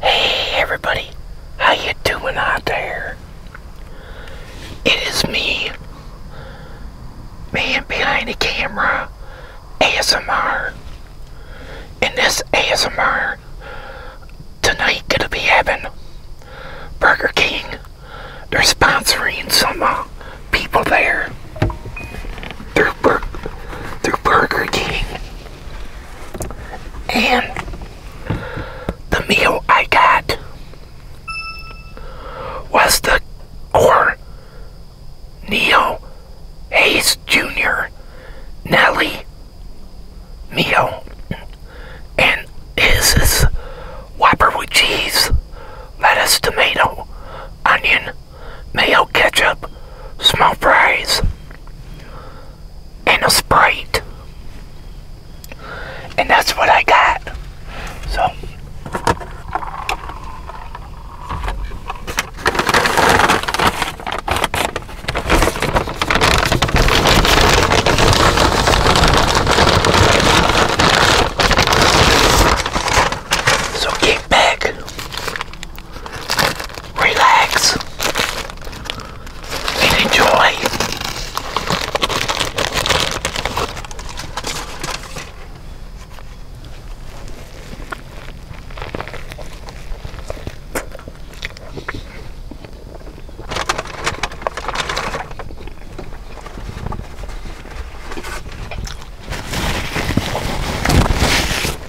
Hey everybody, how you doing out there? It is me, man behind the camera, ASMR. And this ASMR, tonight gonna be having Burger King. They're sponsoring some uh, people there through Burger King. And the meal I got was the or Neil Hayes Jr. Nelly meal. And his is Whopper with cheese, lettuce, tomato, onion, mayo ketchup, small fries, and a Sprite. And that's what I got. So... So get back relax, and enjoy.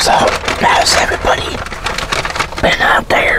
So, how's everybody been out there?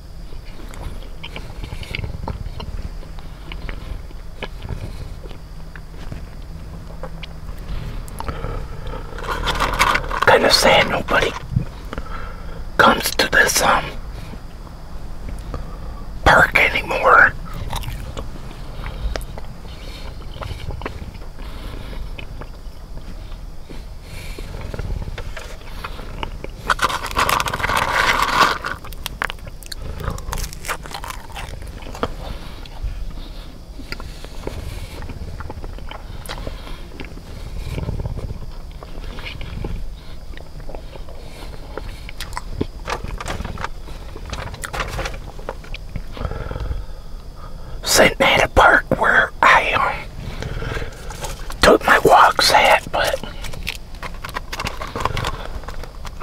Kind of sad nobody comes to this um park anymore sitting at a park where I am took my walks at, but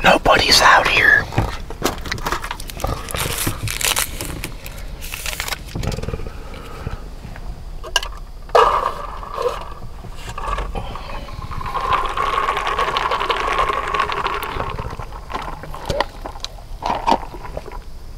nobody's out here.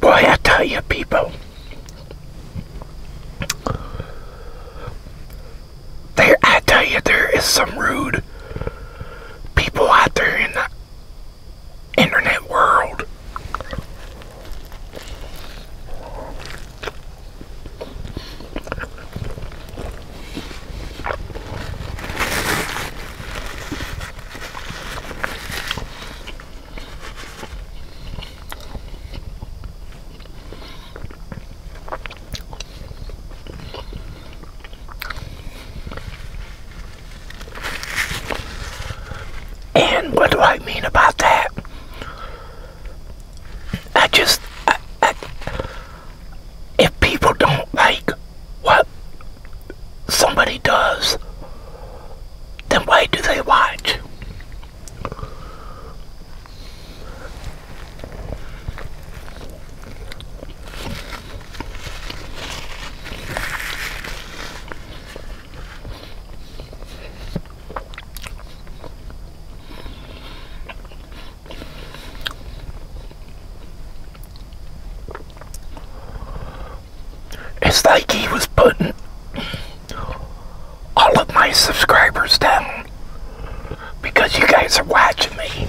Boy, I tell you, people, there, I tell you, there is some rude people out there in the internet world. And what do I mean about that? I just, if people don't like what somebody does, then why do they watch? It's like he was putting all of my subscribers down because you guys are watching me.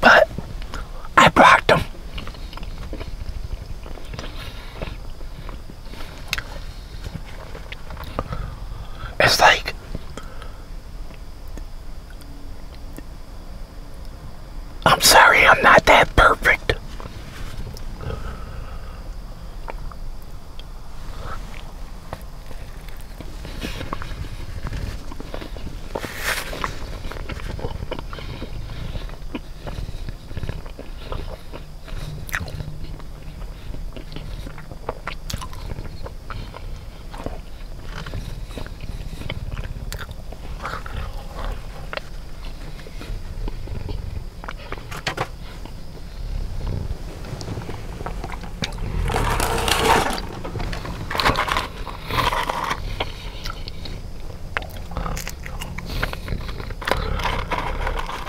But I brought them. It's like I'm sorry, I'm not that perfect.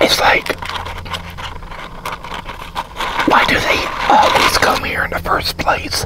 It's like, why do they always come here in the first place?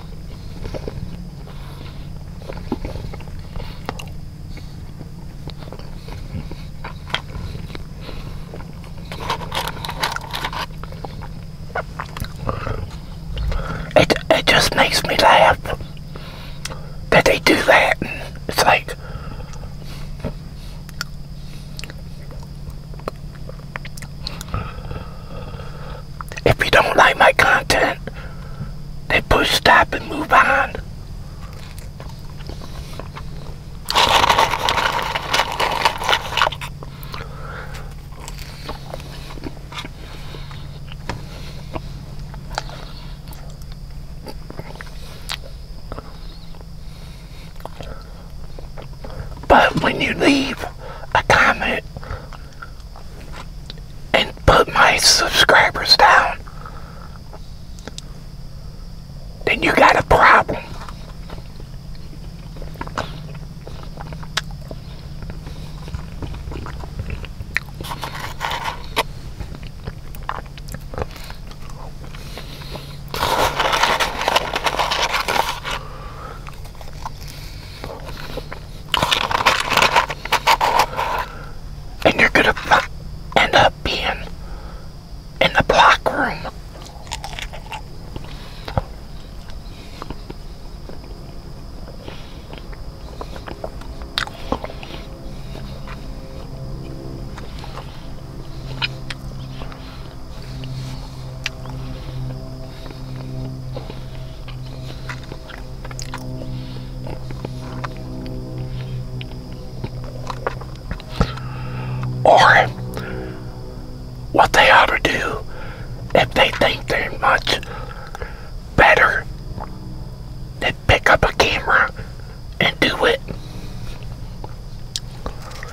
It, it just makes me laugh that they do that. It's like, if you don't like my content, then push stop and move on. But when you leave a comment and put my subscribers down, then you got a problem. And you're going to end up being in the block room. Or what they ought to do if they think they're much better than pick up a camera and do it.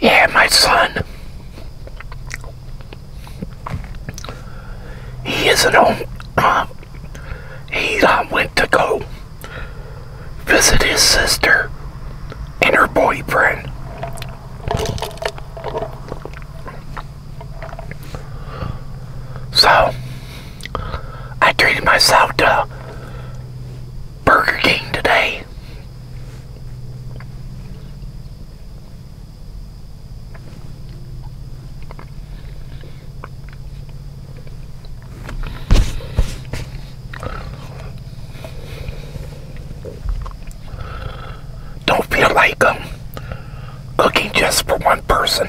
Yeah, my son he isn't home. Uh, he um, went to go visit his sister and her boyfriend. So, I treated myself to Burger King today. Don't feel like um, cooking just for one person.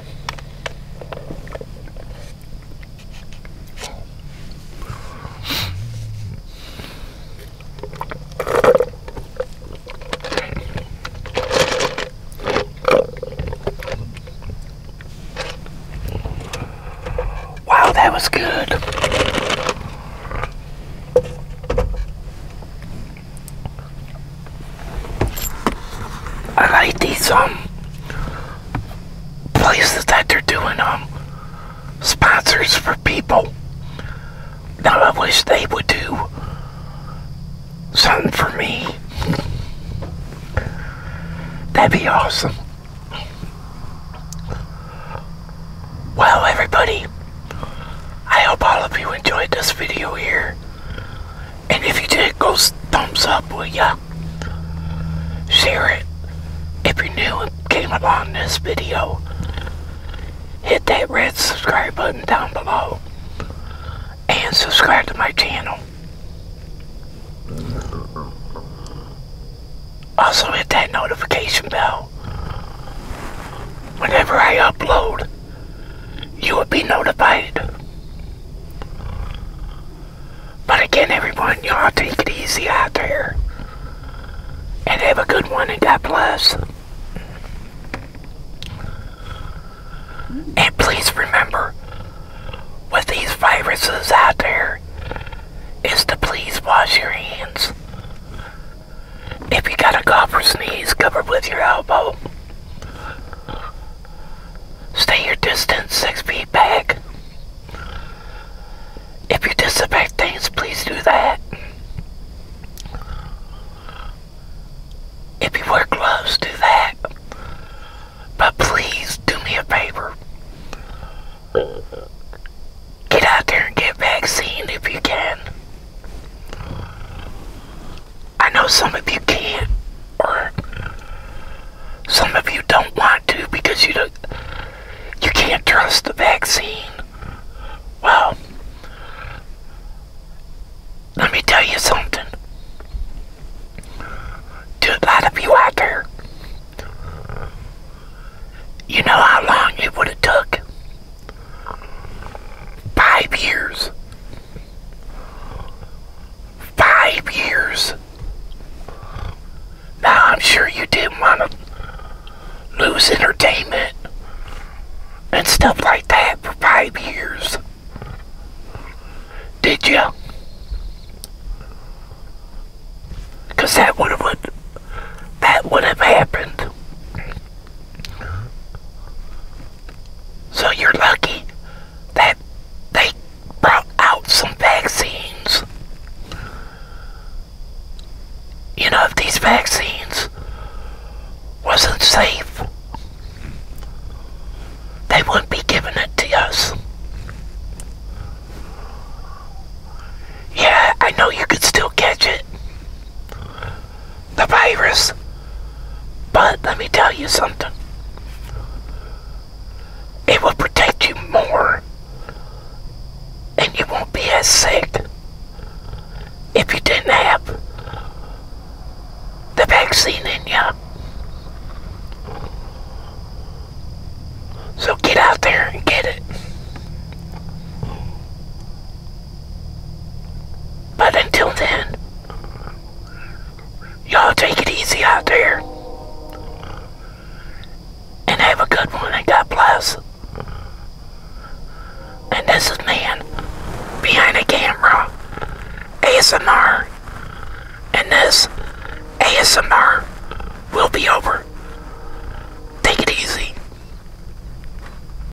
Wow, that was good. I like these um places that they're doing um sponsors for people. Now I wish they would do something for me. That'd be awesome. Well everybody, I hope all of you enjoyed this video here. And if you did, go thumbs up, with ya? Share it. If you're new and came along this video, hit that red subscribe button down below. And subscribe to my channel. Also hit that notification bell whenever I upload you will be notified. But again, everyone, y'all take it easy out there. And have a good one, in God bless. And please remember, with these viruses out there, is to please wash your hands. If you got a cough or sneeze, cover with your elbow. Stay your distance six feet back. If you disinfect things, please do that. If you wear gloves, do that. But please do me a favor. Get out there and get vaccinated if you can. I know some of you can't, or some of you don't want to because you don't, you can't trust the vaccine. Well, let me tell you something. a lot of you out there, you know how long it would have took Five years. Five years. Now, I'm sure you didn't want to lose entertainment and stuff like that for five years. Did you? Because that would have that would have happened. So you're lucky that they brought out some vaccines. You know, if these vaccines wasn't safe, they wouldn't be giving it to us. Yeah, I know you could still catch it the virus. But let me tell you something. It will protect you more and you won't be as sick if you didn't have the vaccine in you. So get out there and get it. But until then, y'all take it easy out there. And have a good one and God bless. And this is Man Behind the Camera ASMR. And this ASMR will be over. Take it easy.